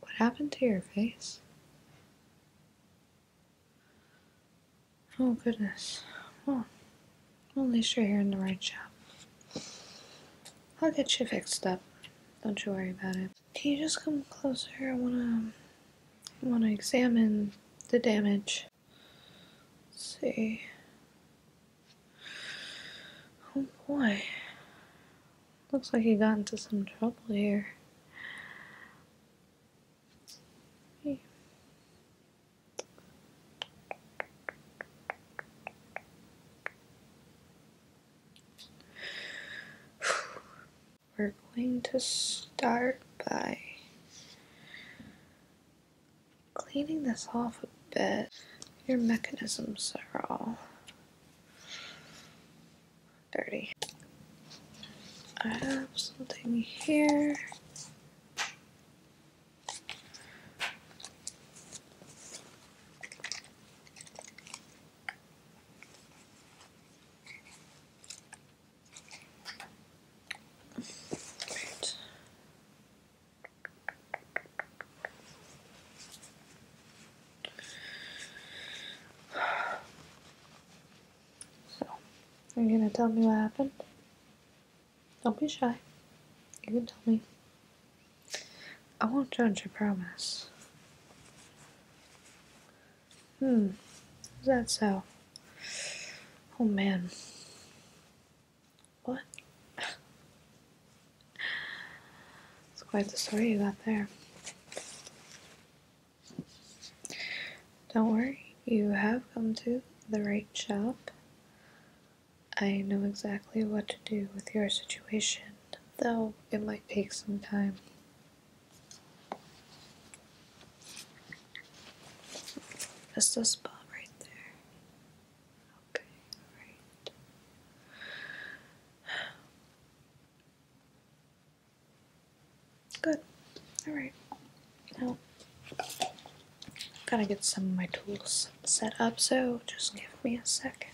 What happened to your face? Oh, goodness. Well, at least you're here in the right shop. I'll get you fixed up. Don't you worry about it. Can you just come closer? I wanna, I wanna examine the damage. Let's see. Oh boy. Looks like he got into some trouble here. We're going to start by cleaning this off a bit. Your mechanisms are all 30. I have something here. Great. So, are you gonna tell me what happened? Don't be shy. You can tell me. I won't judge, I promise. Hmm, is that so? Oh man. What? It's quite the story you got there. Don't worry, you have come to the right shop. I know exactly what to do with your situation, though it might take some time. That's the spot right there. Okay, alright. Good. Alright. Now, gotta get some of my tools set up, so just give me a second.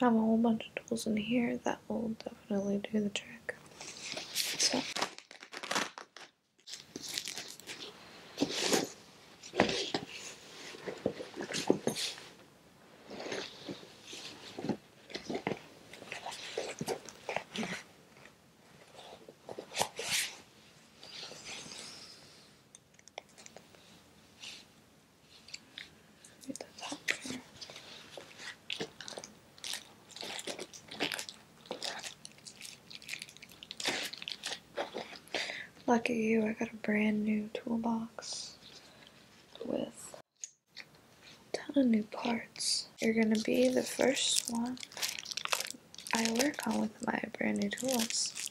I have a whole bunch of tools in here that will definitely do the trick. Read the Lucky you, I got a brand new toolbox with a ton of new parts. You're gonna be the first one I work on with my brand new tools.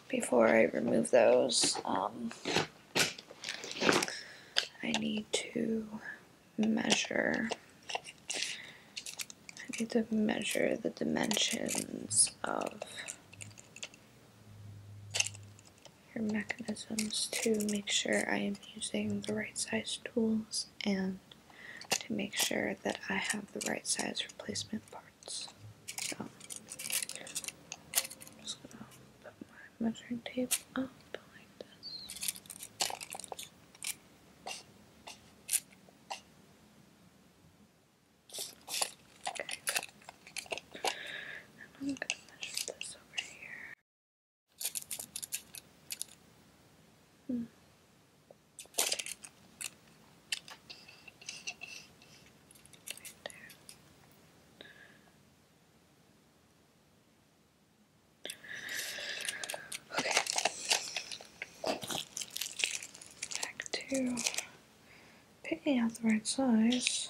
before I remove those, um, I need to measure. I need to measure the dimensions of your mechanisms to make sure I am using the right size tools and to make sure that I have the right size replacement parts. I'm just gonna put my measuring tape up like this. And I'm gonna measure this over here. Hmm. Okay. Back to picking out the right size.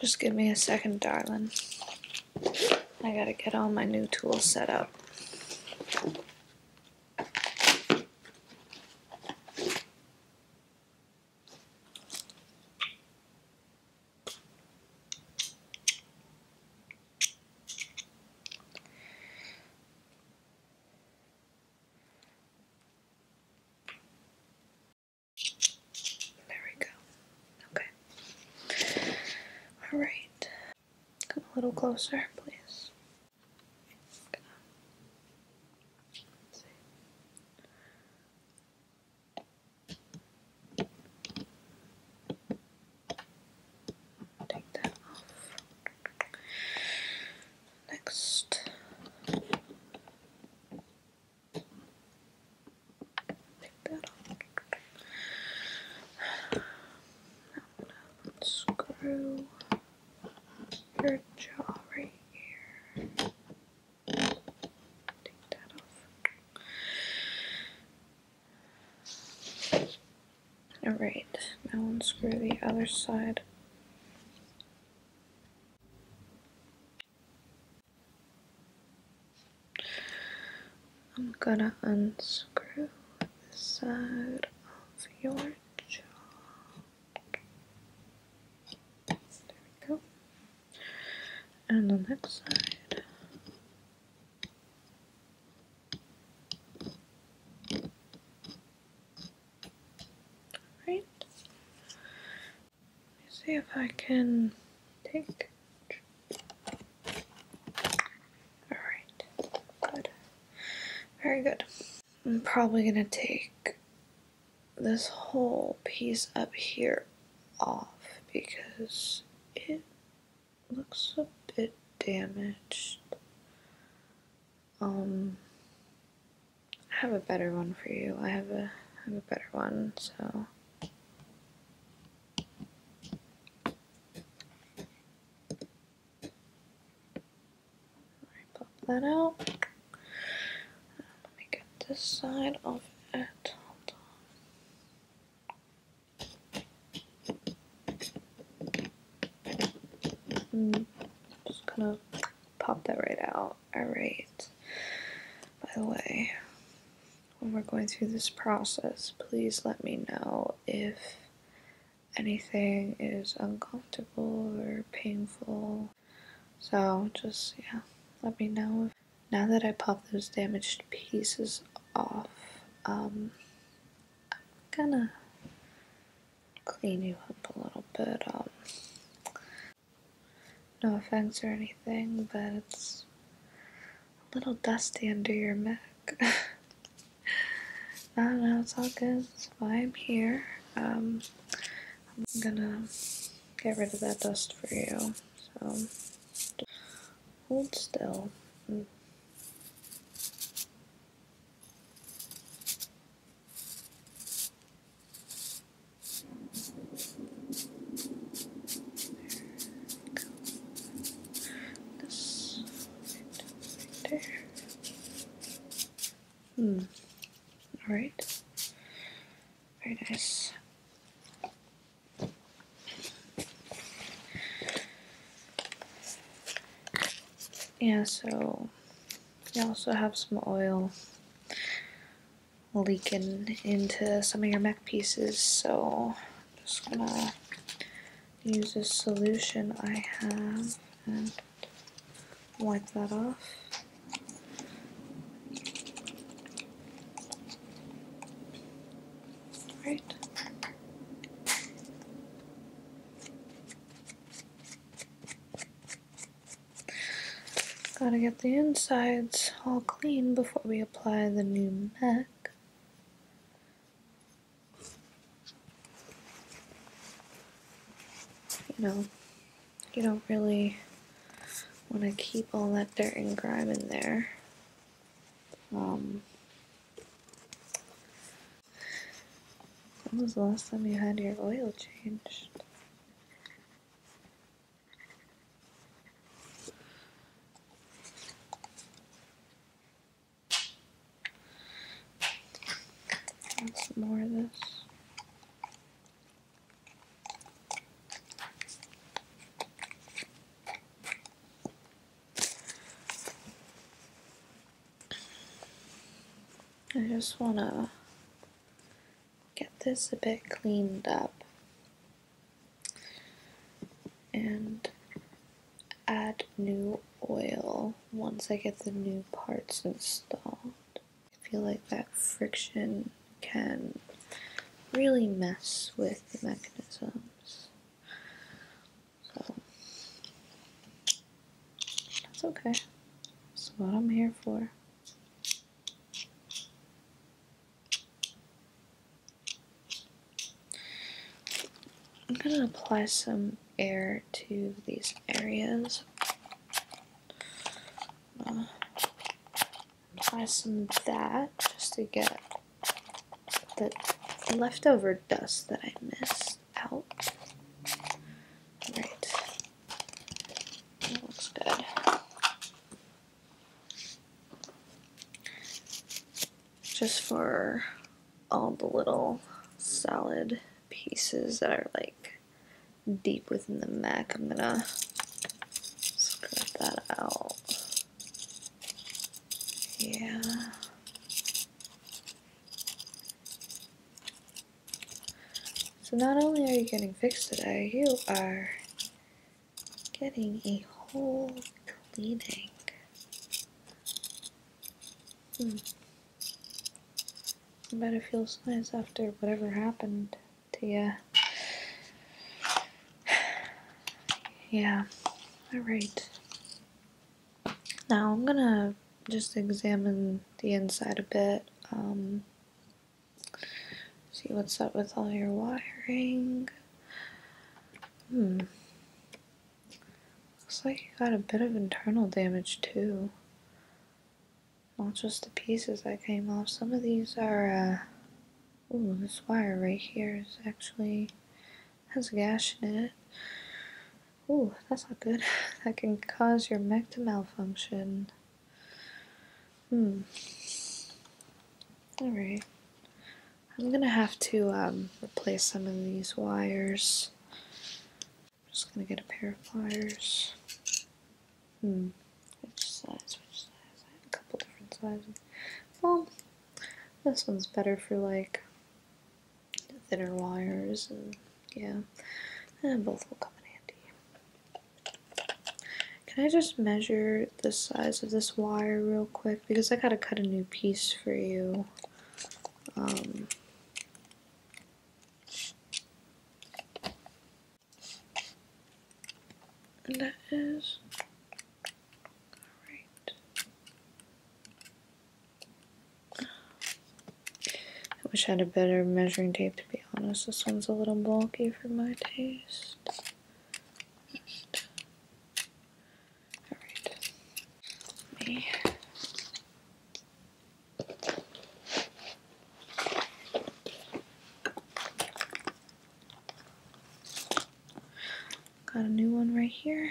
Just give me a second, darling. I gotta get all my new tools set up. There we go. Okay. All right. Come a little closer, please. Take that off. Next. Take that off. i unscrew your jaw right here. Take that off. Alright, now unscrew the other side. I'm gonna unscrew the side of your jaw. There we go. And the next side. All right. Let me see if I can take. Alright, good. Very good. I'm probably gonna take this whole piece up here off because it looks a bit damaged. Um, I have a better one for you. I have a I have a better one, so. Pop that out. let me get this side of it. just gonna pop that right out. Alright. By the way, when we're going through this process, please let me know if anything is uncomfortable or painful. So just, yeah, let me know. if Now that I pop those damaged pieces off, um, I'm gonna clean you up a little bit. Um, no offense or anything, but it's a little dusty under your mic. I don't know, it's all good. That's I'm here. Um, I'm gonna get rid of that dust for you. So, hold still. This right there. Hmm. All right. Very nice. Yeah, so you also have some oil leaking into some of your mech pieces so I'm just gonna use this solution I have and wipe that off. Right. Gotta get the insides all clean before we apply the new MAC. You know, you don't really want to keep all that dirt and grime in there. Um, when was the last time you had your oil changed? some more of this. I just want to get this a bit cleaned up and add new oil once I get the new parts installed. I feel like that friction can really mess with the mechanisms. So that's okay. That's what I'm here for. I'm gonna apply some air to these areas. Uh, apply some of that just to get the leftover dust that I missed out. Right. looks good just for all the little solid pieces that are like deep within the Mac. I'm gonna scrap that out. Yeah. So not only are you getting fixed today, you are getting a whole cleaning. Better hmm. feel bet nice after whatever happened to you. Yeah. Alright. Now I'm gonna just examine the inside a bit. Um, See what's up with all your wiring. Hmm. Looks like you got a bit of internal damage too. Not just the pieces that came off. Some of these are, uh, ooh, this wire right here is actually, has a gash in it. Ooh, that's not good. that can cause your mech to malfunction. Hmm. Alright. I'm gonna have to um, replace some of these wires. I'm just gonna get a pair of pliers. Hmm. Which size? Which size? I have a couple different sizes. Well, this one's better for like thinner wires and yeah. And both will come in handy. Can I just measure the size of this wire real quick? Because I gotta cut a new piece for you. Um, that is alright. I wish I had a better measuring tape to be be honest, this one's a little bulky for my taste. Alright. Got a new one right here.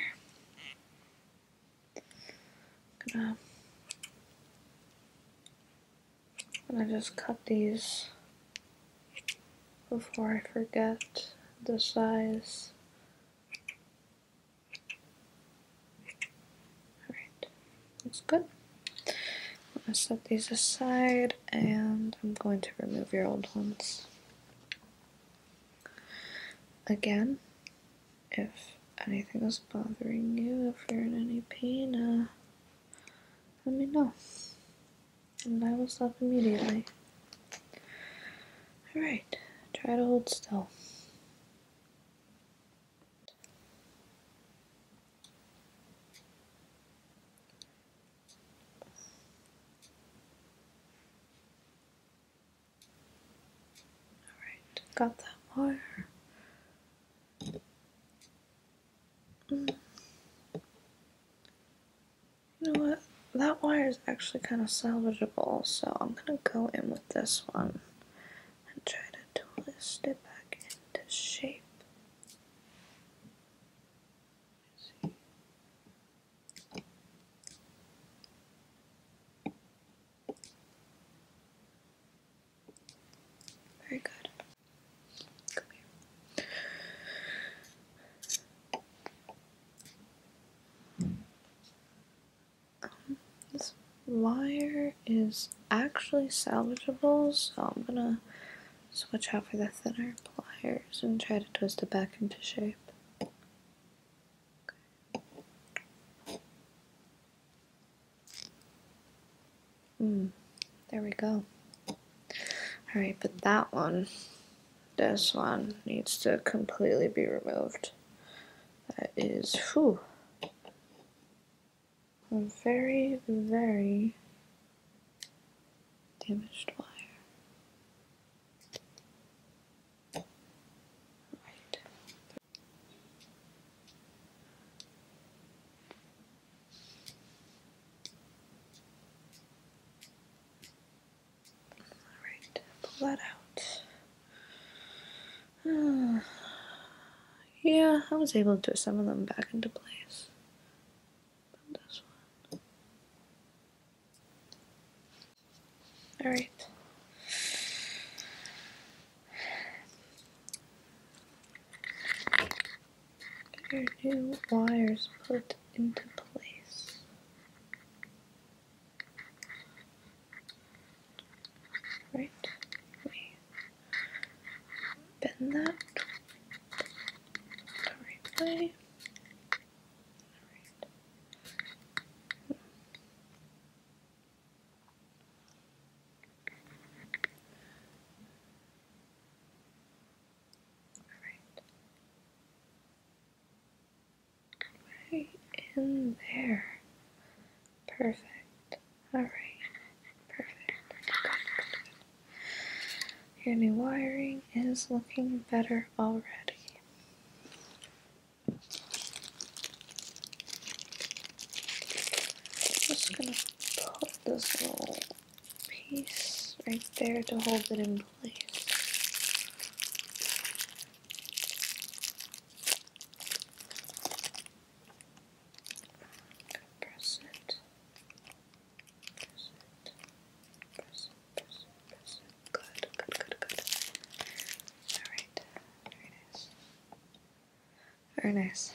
And I just cut these before I forget the size. Alright, that's good. I'm gonna set these aside and I'm going to remove your old ones. Again, if anything is bothering you, if you're in any pain, uh, let me know. And I will stop immediately. Alright, try to hold still. Alright, got that wire. You know what? That wire is actually kind of salvageable, so I'm gonna go in with this one and try to twist it back into shape. Very good. Um, this wire is actually salvageable, so I'm gonna switch out for the thinner pliers and try to twist it back into shape. Mm, there we go. Alright, but that one, this one, needs to completely be removed. That is, whew. A very, very damaged wire. Alright, pull that out. yeah, I was able to put some of them back into place. Alright. Your new wires put into place. Right? We bend that the right way. Right in there. Perfect. Alright. Perfect. Good, Your new wiring is looking better already just gonna put this little piece right there to hold it in place. Good. Good. Good. Good. All right. Very nice. Very nice.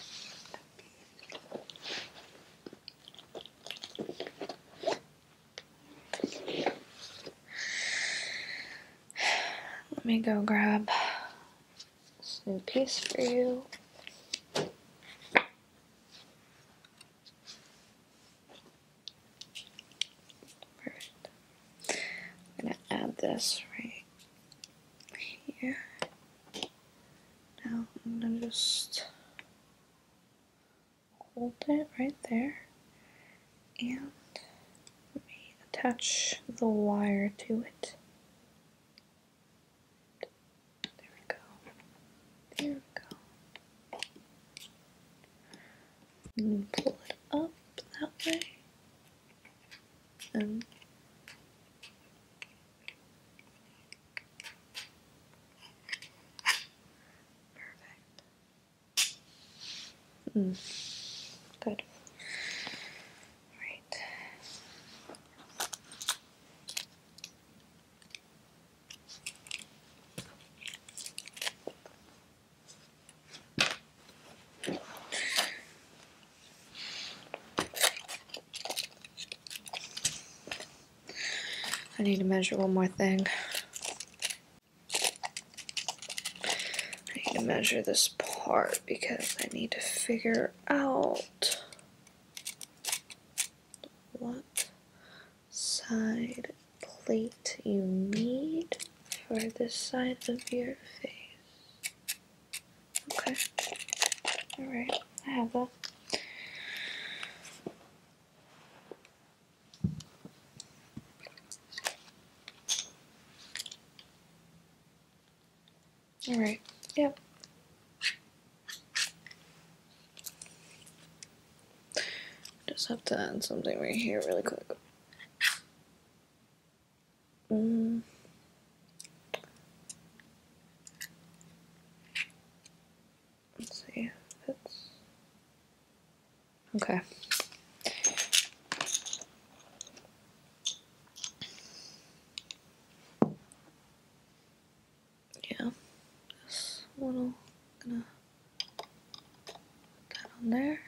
Let me go grab this new piece for you. I'm gonna add this right here. Now I'm gonna just hold it right there and attach the wire to it. There we go. There we go. And pull it up that way. Um, perfect. Mm. Good. Right. I need to measure one more thing. I need to measure this part because I need to figure out what side plate you need for this side of your face. Okay. Alright, I have that. Alright, yep. Just have to add something right here really quick. Let's see. okay. Yeah, this little gonna put on there.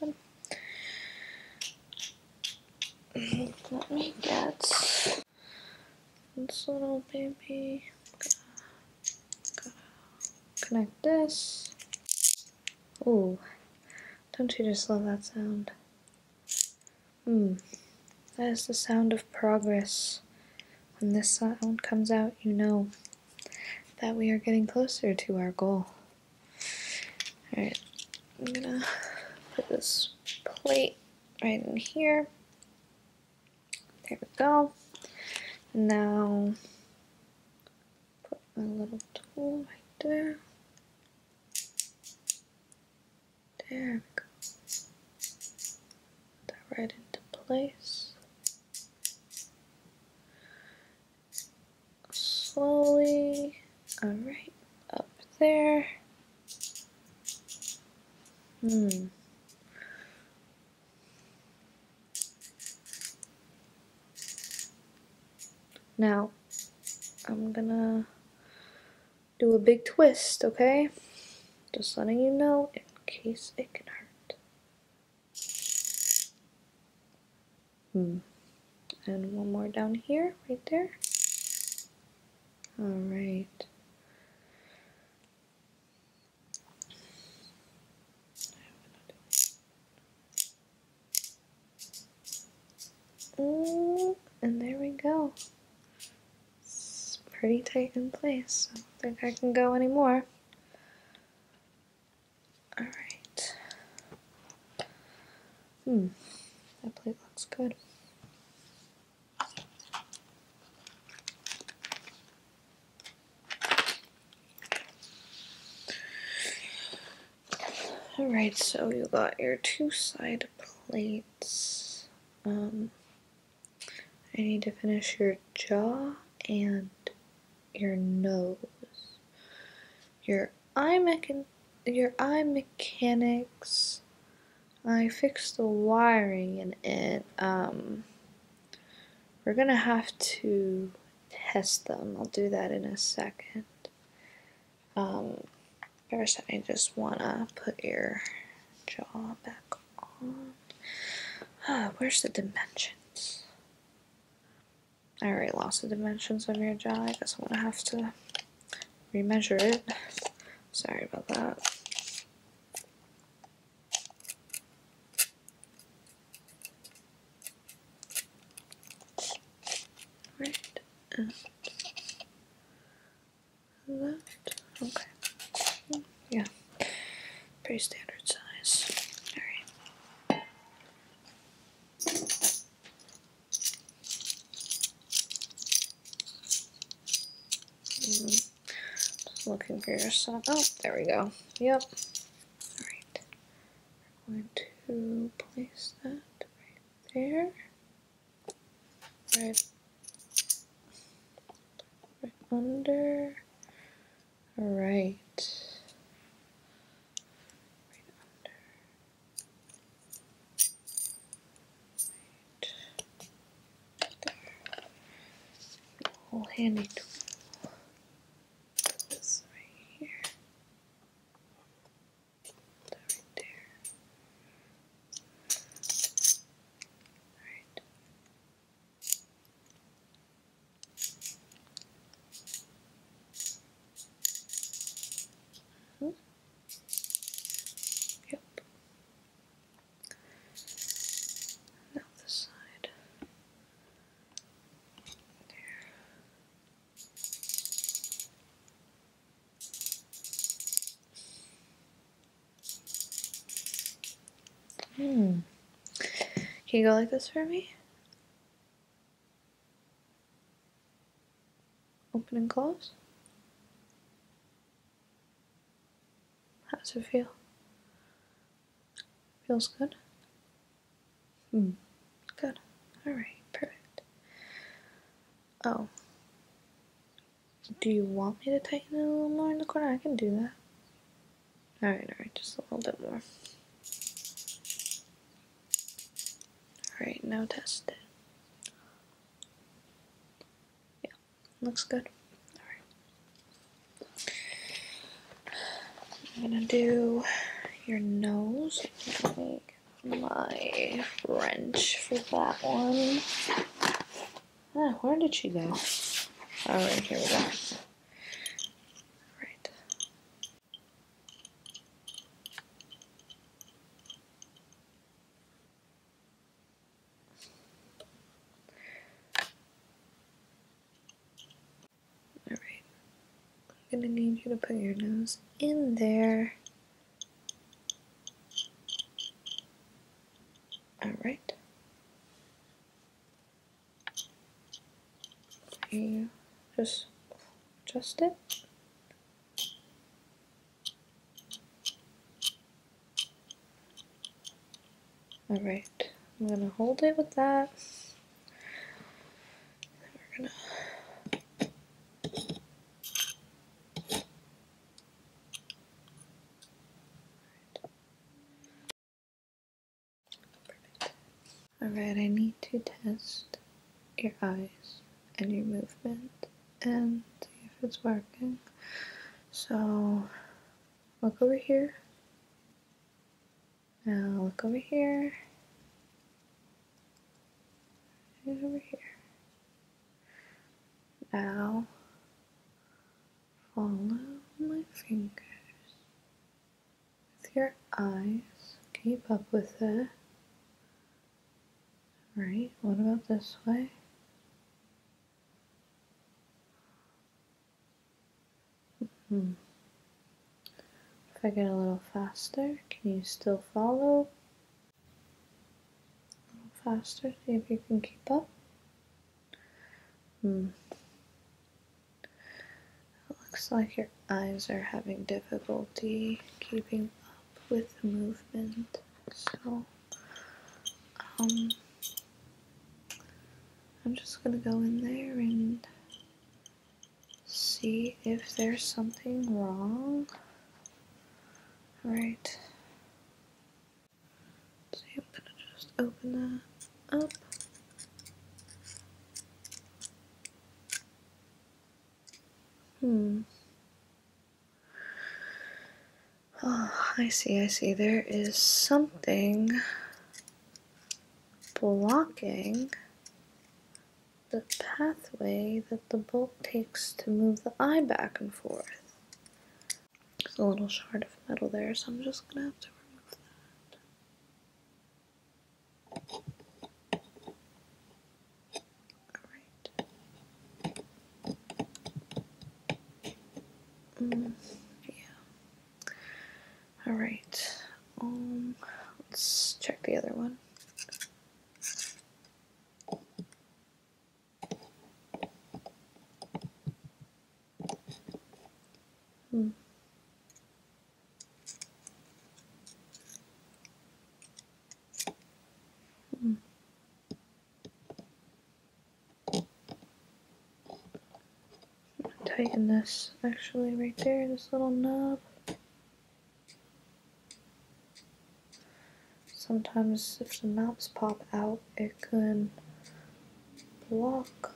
Good. Let me get this little baby. Connect this. Ooh, don't you just love that sound? Hmm, that is the sound of progress. When this sound comes out, you know that we are getting closer to our goal. Alright, I'm gonna put this plate right in here. There we go. Now, put my little tool right there. There we go that right into place. Slowly, all right, up there. Hmm. Now, I'm gonna do a big twist, okay? Just letting you know in case it can hurt. Hmm. And one more down here, right there. All right. Mm, and there we go. It's pretty tight in place. I don't think I can go anymore. Alright. Hmm, that plate looks good. Alright, so you got your two side plates. Um, I need to finish your jaw and your nose. Your eye mechan your eye mechanics. I fixed the wiring in it. Um, we're gonna have to test them. I'll do that in a second. Um, first, I just wanna put your jaw back Ah, where's the dimensions? I already lost the dimensions of your jaw. I guess I'm gonna have to remeasure it. Sorry about that. Right left. Okay yeah, pretty standard size. Alright. Mm. looking for your stuff. Oh, there we go. Yep. Alright. We're going to place that right there. Right, right under. All right. Right Right. There. The handy tool. This right here. right there. All right. Mm -hmm. Yep. Now this side. There. Hmm. Can you go like this for me? Open and close. How does it feel? Feels good? Hmm. Good. Alright, perfect. Oh. Do you want me to tighten it a little more in the corner? I can do that. Alright, alright, just a little bit more. Alright, now test it. Yeah, looks good. Alright. I'm gonna do your nose. my wrench for that one. Ah, where did she go? All oh, right, here we go. right. All right. I'm gonna need you to put your nose in there. All right just adjust it. Alright, I'm gonna hold it with that. Alright, I need to test your eyes and your movement and see if it's working. So, look over here. Now look over here. Right over here. Now follow my fingers with your eyes. Keep up with it. Right, what about this way? Hmm. If I get a little faster, can you still follow? A little faster, see if you can keep up. Hmm. It looks like your eyes are having difficulty keeping up with the movement. So, um, I'm just gonna go in there and see if there's something wrong. Right. So I'm gonna just open that up. Hmm. Oh, I see, I see. There is something blocking the pathway that the bolt takes to move the eye back and forth. There's a little shard of metal there, so I'm just gonna have to remove that. Alright. Mm, yeah. Alright. Um let's check the other one. Hmm. Hmm. Tighten this actually right there, this little knob. Sometimes if the knobs pop out, it can block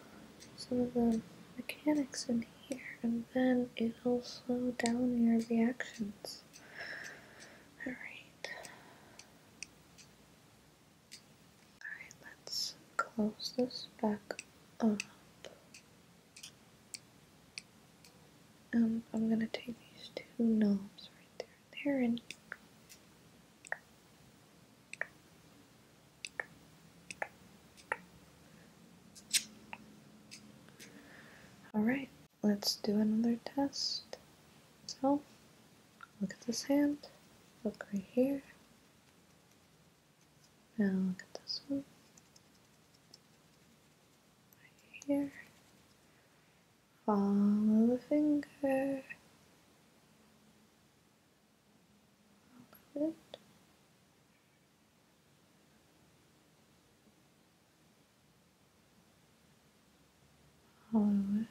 some of the mechanics in here and then it'll slow down your reactions. Alright. Alright, let's close this back up. And um, I'm gonna take these two knobs right there and there and Alright, let's do another test. So, look at this hand, look right here, now look at this one, right here, Follow the finger. Good. Follow it.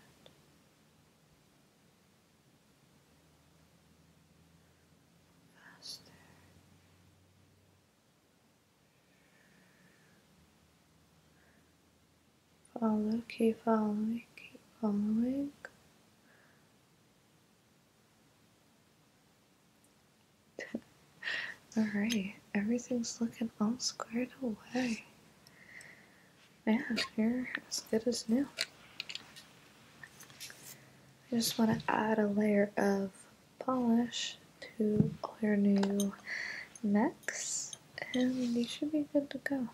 Faster follow, keep following, keep following. Alright, everything's looking all squared away. Man, you're as good as new. I just want to add a layer of polish to all your new max, and you should be good to go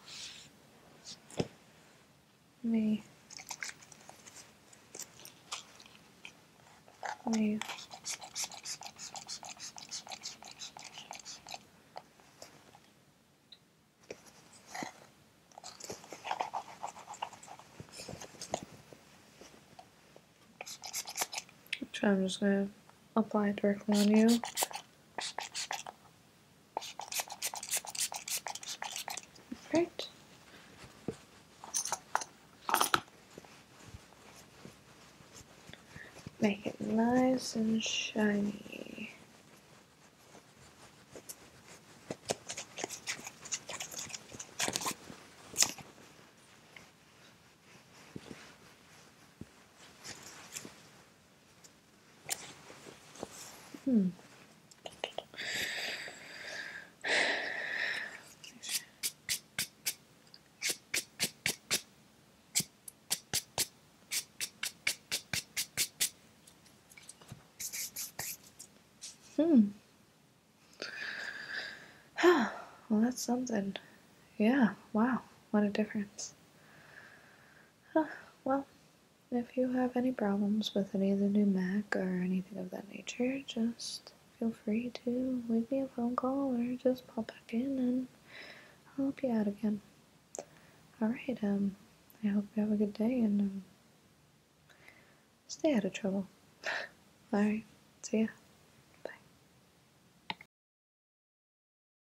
me move which I'm just going to apply it directly on you Right. Make it nice and shiny. Hmm. Hmm. well, that's something. Yeah, wow, what a difference. Huh, well, if you have any problems with any of the new Mac or anything of that nature, just feel free to leave me a phone call or just pop back in and help you out again. Alright, um, I hope you have a good day and um, stay out of trouble. Alright, see ya.